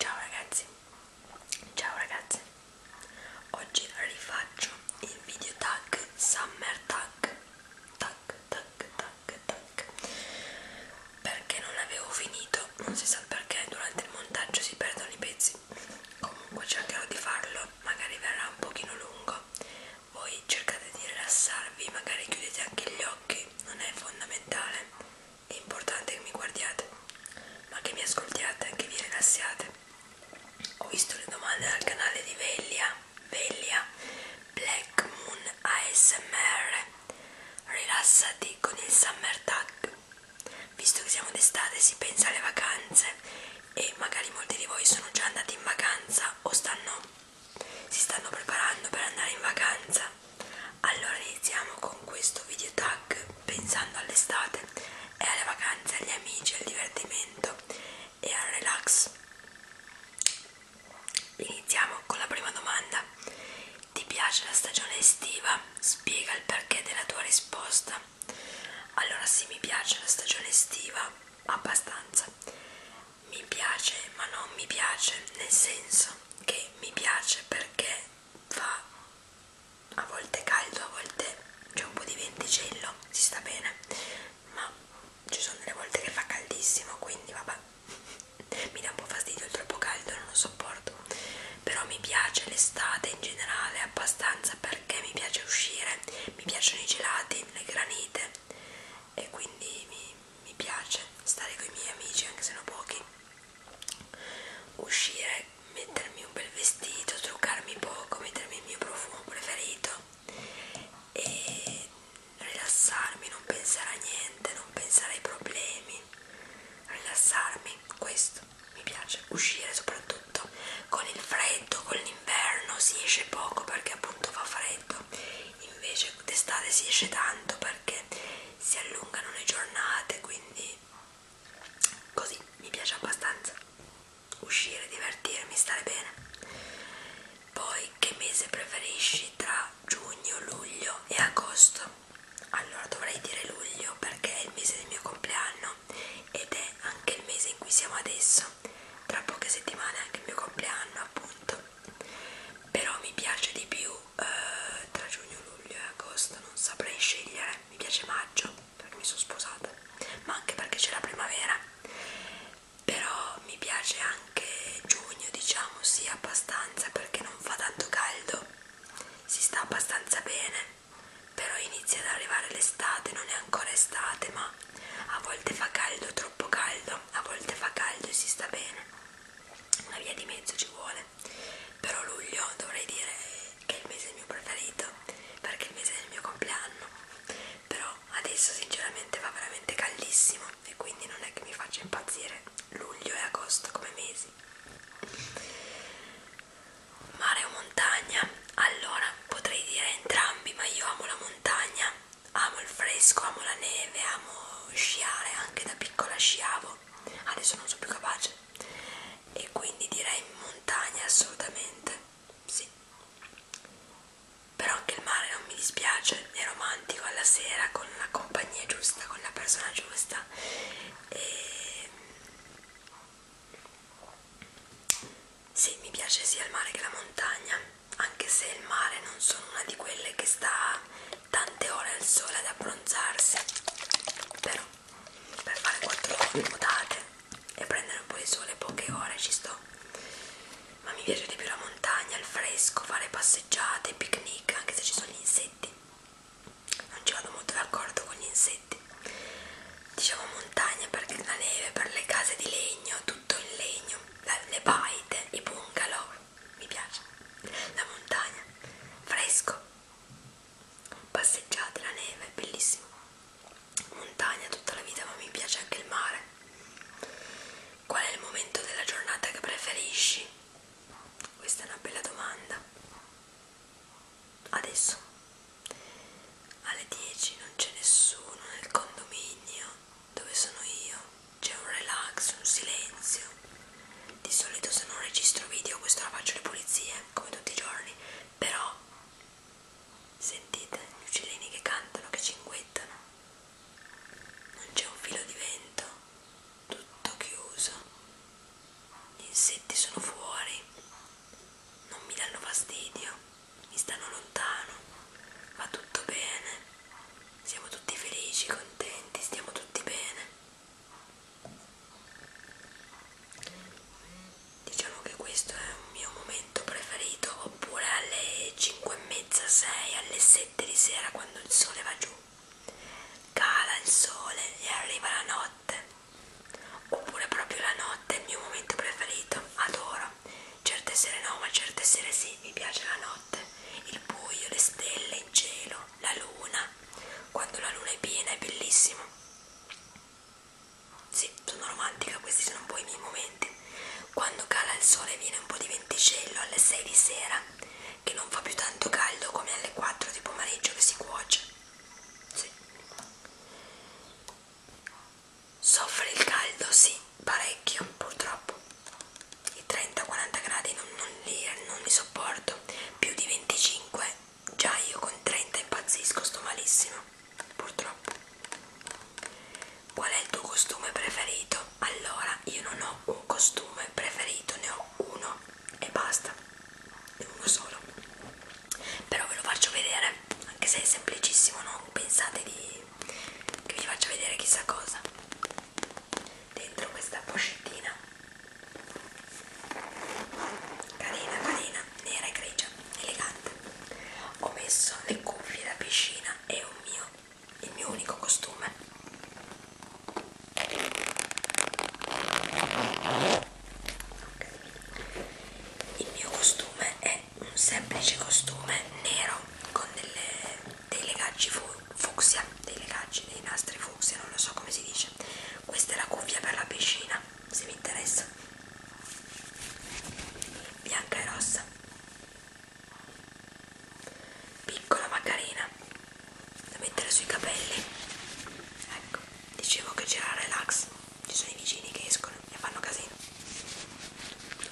Ciao ragazzi, ciao ragazze, oggi rifaccio il video tag summer tag, tag, tag, tag, tag, perché non l'avevo finito, non si sa perché durante il montaggio si perdono i pezzi, comunque cercherò di farlo, magari verrà un pochino lungo, voi cercate di rilassarvi, magari chiudete anche gli occhi, non è fondamentale è importante che mi guardiate, ma che mi ascoltiate, che vi rilassiate. Ho visto le domande dal canale di Veglia, Veglia Black Moon ASMR. Rilassati con il Summer Tag. Visto che siamo d'estate, si pensa alle vacanze e magari molti di voi sono già andati in vacanza o stanno, si stanno preparando per andare in vacanza allora iniziamo con questo video tag pensando all'estate e alle vacanze, agli amici, al divertimento e al relax iniziamo con la prima domanda ti piace la stagione estiva? spiega il perché della tua risposta allora sì mi piace la stagione estiva abbastanza mi piace ma non mi piace nel senso che mi piace perché fa a volte caldo, a volte c'è un po' di venticello, si sta bene, ma ci sono delle volte che fa caldissimo, quindi vabbè, mi dà un po' fastidio il troppo caldo, non lo sopporto, però mi piace l'estate in generale abbastanza perché mi piace uscire, mi piacciono i gelati, le granite e quindi mi, mi piace stare con i miei amici anche se sono pochi uscire mettermi un bel vestito truccarmi poco mettermi il mio profumo preferito e rilassarmi non pensare a niente non pensare ai problemi rilassarmi questo mi piace uscire soprattutto con il freddo con l'inverno si esce poco perché appunto fa freddo invece d'estate si esce tanto perché si allungano le giornate quindi così mi piace abbastanza uscire, divertirmi, stare bene poi che mese preferisci tra giugno, luglio e agosto? allora dovrei dire luglio perché è il mese del mio compleanno ed è anche il mese in cui siamo adesso tra poche settimane è anche il mio compleanno appunto però mi piace di più eh, tra giugno, luglio e agosto, non saprei scegliere, mi piace maggio perché mi sono sposata, ma anche perché c'è la primavera, però mi piace anche giugno diciamo sì abbastanza perché non fa tanto caldo, si sta abbastanza bene, però inizia ad arrivare l'estate, non è ancora estate ma a volte fa caldo, troppo caldo, a volte fa caldo e si sta bene una via di mezzo ci vuole però luglio dovrei dire che è il mese mio preferito perché è il mese del mio compleanno però adesso sinceramente va veramente caldissimo e quindi non è che mi faccia impazzire luglio e agosto come mesi mare o montagna allora potrei dire entrambi ma io amo la montagna amo il fresco, amo la neve, amo sciare, anche da piccola sciavo, adesso non sono più capace e quindi direi montagna assolutamente, sì. Però anche il mare non mi dispiace, è romantico alla sera con la compagnia giusta, con la persona giusta e sì, mi piace sia il mare che la montagna anche se il mare non sono una di quelle che sta tante ore al sole ad abbronzarsi però per fare 4 ore nuotate e prendere un po' di sole poche ore ci sto ma mi piace di più la montagna, il fresco, fare passeggiate, picnic anche se ci sono gli insetti non ci vado molto d'accordo con gli insetti diciamo montagna perché la neve per le case di legno tutto in legno, la, le baite, i bungalow, mi piace, la montagna, fresco, passeggiate, la neve, bellissimo, montagna tutta la vita, ma mi piace anche il mare. Qual è il momento della giornata che preferisci? Questa è una bella domanda. Adesso alle 10 non c'è nessuno nel condominio dove sono io c'è un relax, un silenzio. Di solito se non registro video questo la faccio le pulizie, come tutti i giorni, però sentite gli uccellini che cantano, che cinguettano. Non c'è un filo di vento, tutto chiuso. Gli insetti sono fuori. Non mi danno fastidio mi stanno lontano, va tutto bene, siamo tutti felici, contenti, stiamo tutti bene. Diciamo che questo è un mio momento preferito, oppure alle 5 e mezza, 6, alle 7 di sera quando il sole va giù, cala il sole e arriva la notte. Oppure proprio la notte è il mio momento preferito, adoro. Certe sere no, ma certe sere sì, mi piace la notte, il buio, le stelle in cielo, la luna. Quando la luna è piena è bellissimo. Sì, sono romantica, questi sono un po' i miei momenti. Quando cala il sole e viene un po' di venticello alle 6 di sera, che non fa più tanto caldo come alle 4 di pomeriggio che si cuoce. Sì soffre il caldo, sì, parecchio purtroppo. I 30-40 gradi non, non, li, non li sopporto, più di 25, già io con 30 impazzisco, sto malissimo, purtroppo. Qual è il tuo costume preferito? Allora, io non ho un costume preferito, ne ho uno e basta, uno solo. Però ve lo faccio vedere cioè anche se è semplicissimo non pensate di che vi faccio vedere chissà cosa dentro questa pochettina carina carina nera e grigia elegante ho messo le cuffie da piscina e un mio il mio unico costume okay. il mio costume è è un semplice costume nero con delle, dei legaggi fu, fucsia, dei legaggi, dei nastri fucsia, non lo so come si dice. Questa è la cuffia per la piscina, se vi interessa. Bianca e rossa. Piccola ma carina, da mettere sui capelli. Ecco, dicevo che c'era relax ci sono i vicini che escono e fanno casino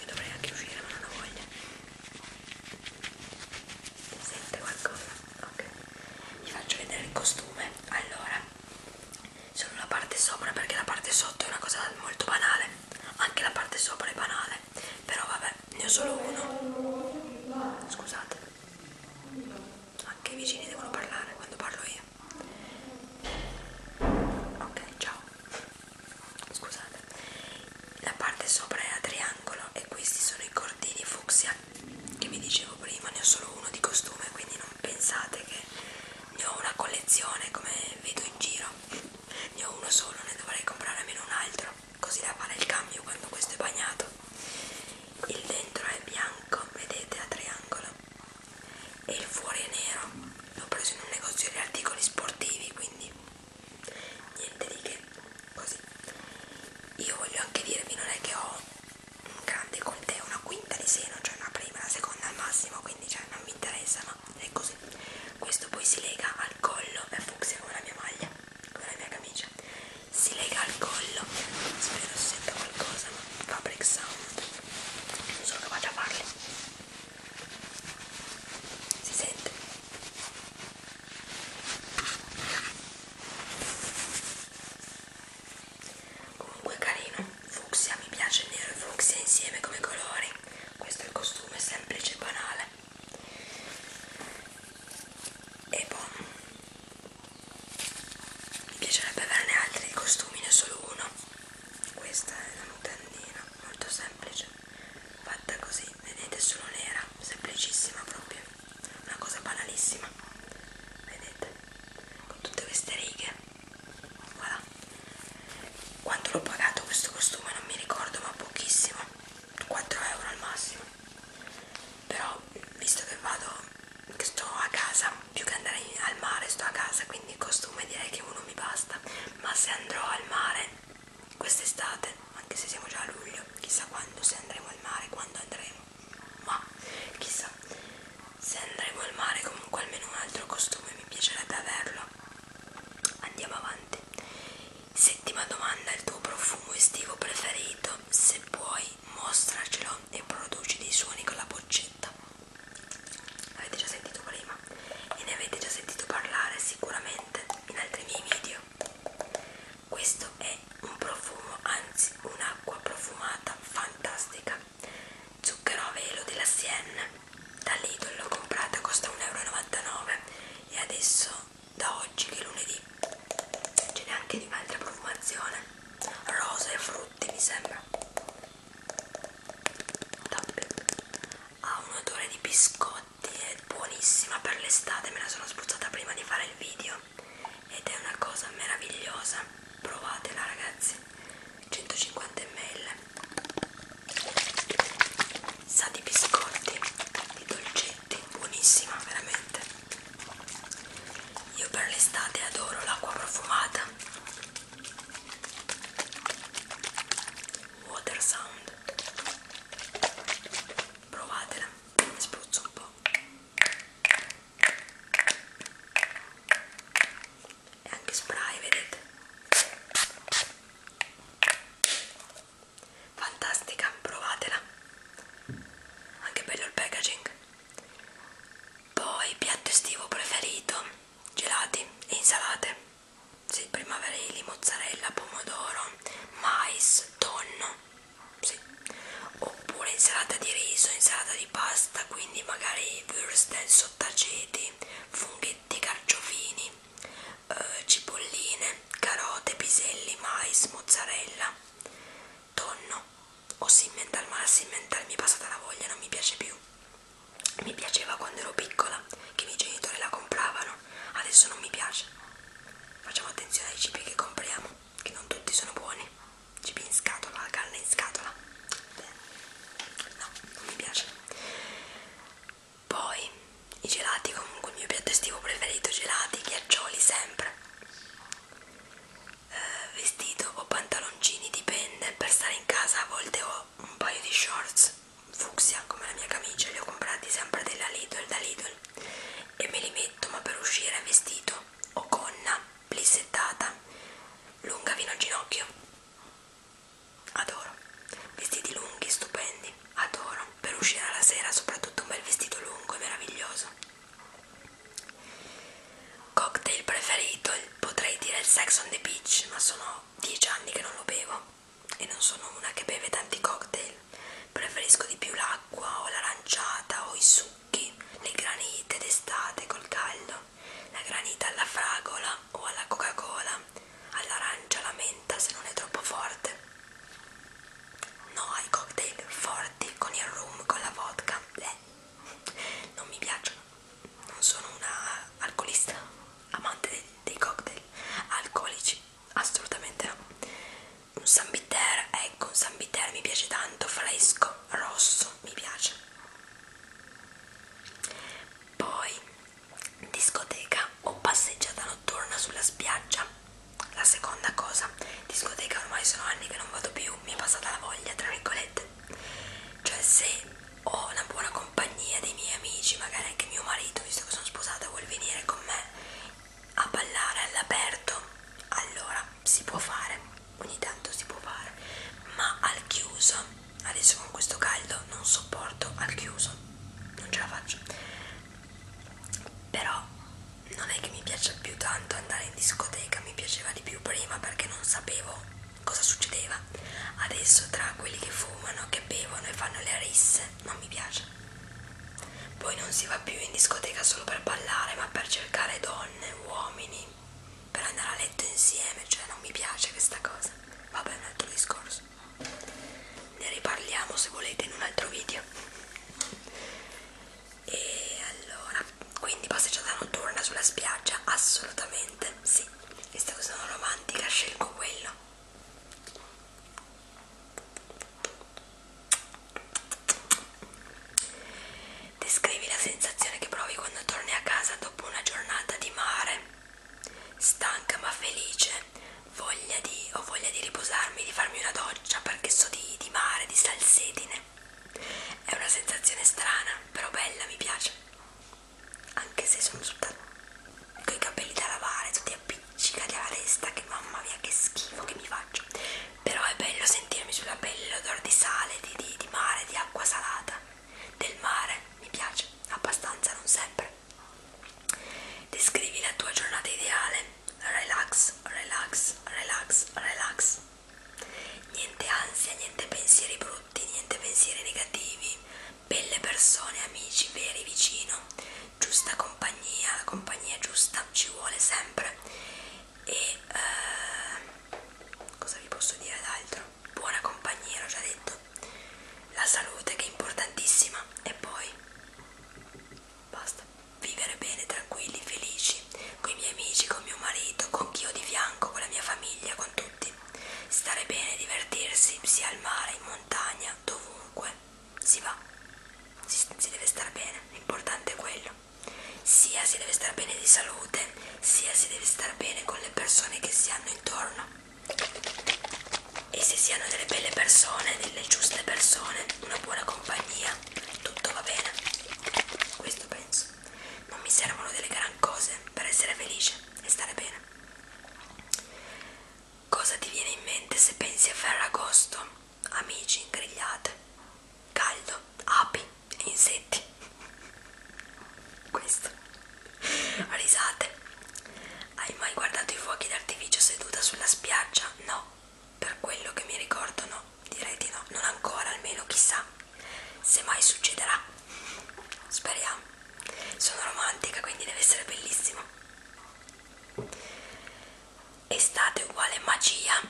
e dovrei anche uscire ma non ho voglia sente qualcosa? ok vi faccio vedere il costume allora solo la parte sopra perché la parte sotto è una cosa molto banale anche la parte sopra è banale però vabbè ne ho solo uno scusate anche i vicini devono parlare quando parlo io sì ok ciao scusate la parte sopra è a triangolo e questi sono i cordini fucsia che vi dicevo prima ne ho solo uno di costume quindi non pensate che ne ho una collezione come vedo in giro ne ho uno solo ne dovrei comprare almeno un altro così da fare il cambio quando questo è bagnato il dentro è bianco vedete a triangolo e il fuori è nero l'ho preso in un negozio di articoli sportivi quindi niente di che così io voglio anche dirvi non è che ho un grande con te una quinta di seno cioè una prima la seconda al massimo quindi cioè non mi interessa ma è così questo poi si lega al collo è fucsia come la mia maglia come la mia camicia si lega al collo spero si senta qualcosa ma Fabric Sound sono capace a farlo si sente comunque carino fucsia mi piace il nero e fucsia insieme come colori questo è il costume semplice e banale e poi mi piacerebbe averne altri di costumi, ne solo uno. Questa è una mutandina molto semplice, fatta così, vedete solo nera, semplicissima proprio, una cosa banalissima. Vedete? Con tutte queste righe. Voilà. Quanto l'ho pagato questo costume non mi ricordo, ma pochissimo. 4 euro al massimo. Però, visto che vado sto a casa più che andare al mare sto a casa quindi il costume direi che uno mi basta ma se andrò al mare quest'estate anche se siamo già a luglio chissà quando se andremo al mare quando andremo ma chissà se andremo al mare comunque almeno un altro costume mi piacerebbe averlo andiamo avanti settima domanda il tuo profumo estivo preferito se puoi mostracelo e produce dei suoni con la boccetta avete già sentito prima e ne avete già sentito parlare sicuramente in altri miei video questo è un profumo anzi un'acqua profumata fantastica zucchero a velo della Sienne da Lidl l'ho comprata costa 1,99 euro e adesso da oggi che è lunedì ce n'è anche di un'altra profumazione rose e frutti mi sembra Top. ha un odore di biscotti è buonissima per l'estate me la sono spruzzata prima di fare il video ed è una cosa meravigliosa provatela ragazzi 150 ml sa di biscotti di dolcetti buonissima veramente io per l'estate adoro l'acqua profumata. Water Sound. Provatela, spruzzo un po'. E anche spray, vedete? Fantastica, provatela. Anche bello il packaging. Poi piatto estivo preferito, gelati e insalate, sì, primaverili, mozzarella, pomodoro, mais, tonno, sì. oppure insalata di riso, insalata di pasta, quindi magari würstel, sottaceti, funghetti, carciofini, eh, cipolline, carote, piselli, mais, mozzarella tonno o simmental, ma la simmental mi è passata la voglia, non mi piace più. Mi piaceva quando ero piccola, che i miei genitori la compravano, adesso non mi piace. Facciamo attenzione ai cibi che compriamo, che non tutti sono buoni. Cibi in scatola, la carne in scatola. No, non mi piace. Poi i gelati, comunque il mio piatto estivo preferito, gelati, ghiaccioli sempre eh, vestito o pantaloncini, dipende, per stare in casa a volte ho un paio di shorts fucsia come la mia camicia, li ho comprati sempre della Lidl, da Lidl e me li metto ma per uscire vestito o gonna plissettata lunga fino al ginocchio adoro vestiti lunghi stupendi adoro per uscire alla sera soprattutto un bel vestito lungo è meraviglioso Cocktail preferito potrei dire il Sex on the Beach, ma sono dieci anni che non lo bevo e non sono una che beve tanti cocktail. Preferisco di più l'acqua o l'aranciata o i succhi, le granite d'estate col caldo, la granita alla fragola o alla Coca-Cola, all'arancia, alla menta se non è troppo forte no ai cocktail forti con il rum, con la vodka, eh, non mi piacciono, non sono una alcolista, amante dei, dei cocktail alcolici, assolutamente no. Un San Bitter, ecco un San Bitter mi piace tanto, fresco, rosso, mi piace. Poi discoteca o passeggiata notturna sulla spiaggia. La seconda cosa, discoteca ormai sono anni che non vado più, mi è passata la voglia, tra virgolette. Cioè se ho una buona compagnia dei miei amici, magari anche mio marito, visto che sono sposata, vuol venire con me a ballare all'aperto, allora si può fare, ogni tanto si può fare, ma al chiuso, adesso con questo caldo non sopporto al chiuso, non ce la faccio però non è che mi piaccia più tanto andare in discoteca, mi piaceva di più prima perché non sapevo cosa succedeva. Adesso tra quelli che fumano, che bevono e fanno le risse, non mi piace. Poi non si va più in discoteca solo per ballare, ma per cercare donne, uomini, per andare a letto insieme, cioè non mi piace questa cosa. Vabbè, è un altro discorso. Plus. Ne riparliamo se volete in un altro video. E allora, quindi passeggiata notturna sulla spiaggia? Assolutamente sì. Visto che sono romantica, scelgo quello. Descrivi la sensazione che provi quando torni a casa dopo una giornata di mare, stanca ma felice voglia di, ho voglia di riposarmi, di farmi una doccia perché so di, di mare, di salsedine. È una sensazione strana, però bella, mi piace. Anche se sono tutta con i capelli da lavare, tutti appiccicati alla testa, che mamma mia che schifo che mi faccio. Però è bello sentirmi sulla pelle l'odore di sale, di, di, di mare, di acqua salata, del mare, mi piace abbastanza, non sempre. Descrivi la tua giornata ideale. Relax, relax, relax, relax. Niente ansia, niente pensieri brutti, niente pensieri negativi. Belle persone, amici veri vicino. Giusta compagnia, la compagnia giusta ci vuole sempre. E eh, cosa vi posso dire d'altro? Buona compagnia, l'ho già detto la salute che è importantissima e poi basta vivere bene, tranquilli, felici con i miei amici, con mio marito, con chi ho di fianco, con la mia famiglia, con tutti stare bene, divertirsi sia al mare, in montagna, dovunque si va si, si deve stare bene, l'importante è quello sia si deve stare bene di salute sia si deve stare bene con le persone che si hanno intorno e se siano delle belle persone, delle giuste persone, una buona compagnia, tutto va bene. Questo penso. Non mi servono delle gran cose per essere felice e stare bene. Cosa ti viene in mente se pensi a Ferragosto? Amici, grigliate, caldo, api, insetti. Questo. Risate. Hai mai guardato i fuochi d'artificio seduta sulla spiaggia? No. Per quello che mi ricordo no. Direi di no. Non ancora, almeno chissà. Se mai succederà. Speriamo. Sono romantica, quindi deve essere bellissimo. Estate uguale magia?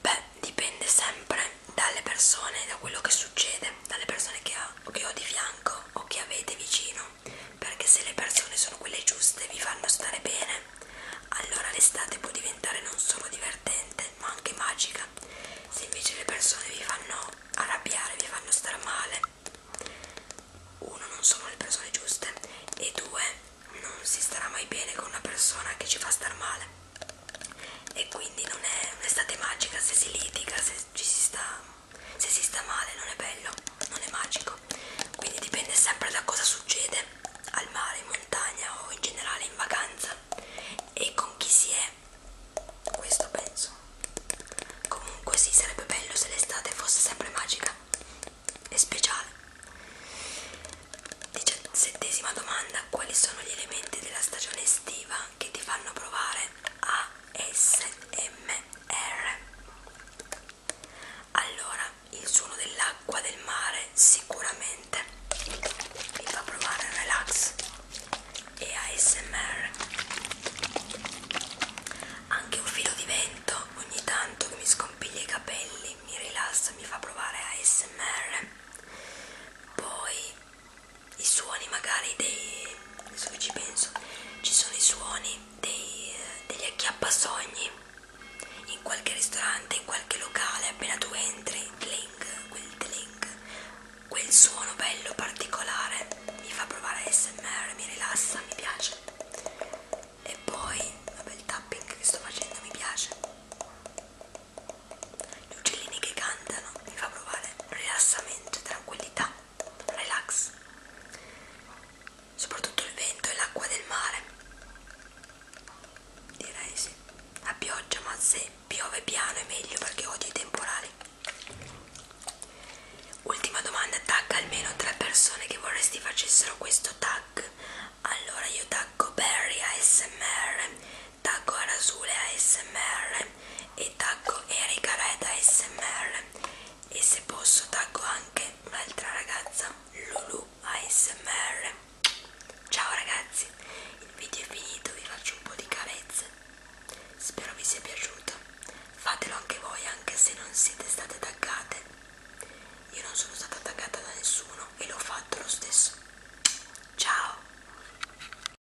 Beh, dipende sempre dalle persone, da quello che succede, dalle persone che ho, che ho di fianco o che avete vicino perché se le persone sono quelle giuste e vi fanno stare bene, allora l'estate può diventare non solo divertente ma anche magica. Se invece le persone vi fanno arrabbiare, vi fanno stare male, uno non sono le persone giuste e due non si starà mai bene con una persona che ci fa star male. E quindi non è un'estate magica se si litiga, se ci si sta se si sta male non è bello, non è magico, quindi dipende sempre da cosa succede al mare, in montagna o in generale in vacanza e con chi si è, questo penso. Comunque sì, sarebbe bello se l'estate fosse sempre magica e speciale. Diciassettesima domanda, quali sono gli elementi della stagione estiva che ti fanno provare ASMR. Allora, il suono dell'acqua del mare sicuramente ti fa provare relax e ASMR. Anche un filo di vento ogni tanto che mi scompiglia i capelli mi rilassa, mi fa provare ASMR. Poi i suoni magari dei adesso che ci penso ci sono i suoni dei, degli acchiappasogni in qualche ristorante in qualche locale appena tu entri tling, quel tling, quel suono bello particolare mi fa provare ASMR mi rilassa mi piace e poi vabbè il tapping che sto facendo mi piace gli uccellini che cantano mi fa provare rilassamento tranquillità relax soprattutto il vento e l'acqua del mare direi sì la pioggia ma se piove piano è meglio perché odio i temporali ultima domanda tag almeno tre persone che vorresti facessero questo tag allora io taggo Barry ASMR taggo Arasule ASMR e taggo Erika Red ASMR e se posso taggo anche un'altra ragazza Lulu ASMR ciao ragazzi il video è finito vi faccio un po' di carezze spero vi sia piaciuto fatelo anche voi anche se non siete state taggate io non sono stata taggata da nessuno e l'ho fatto lo stesso ciao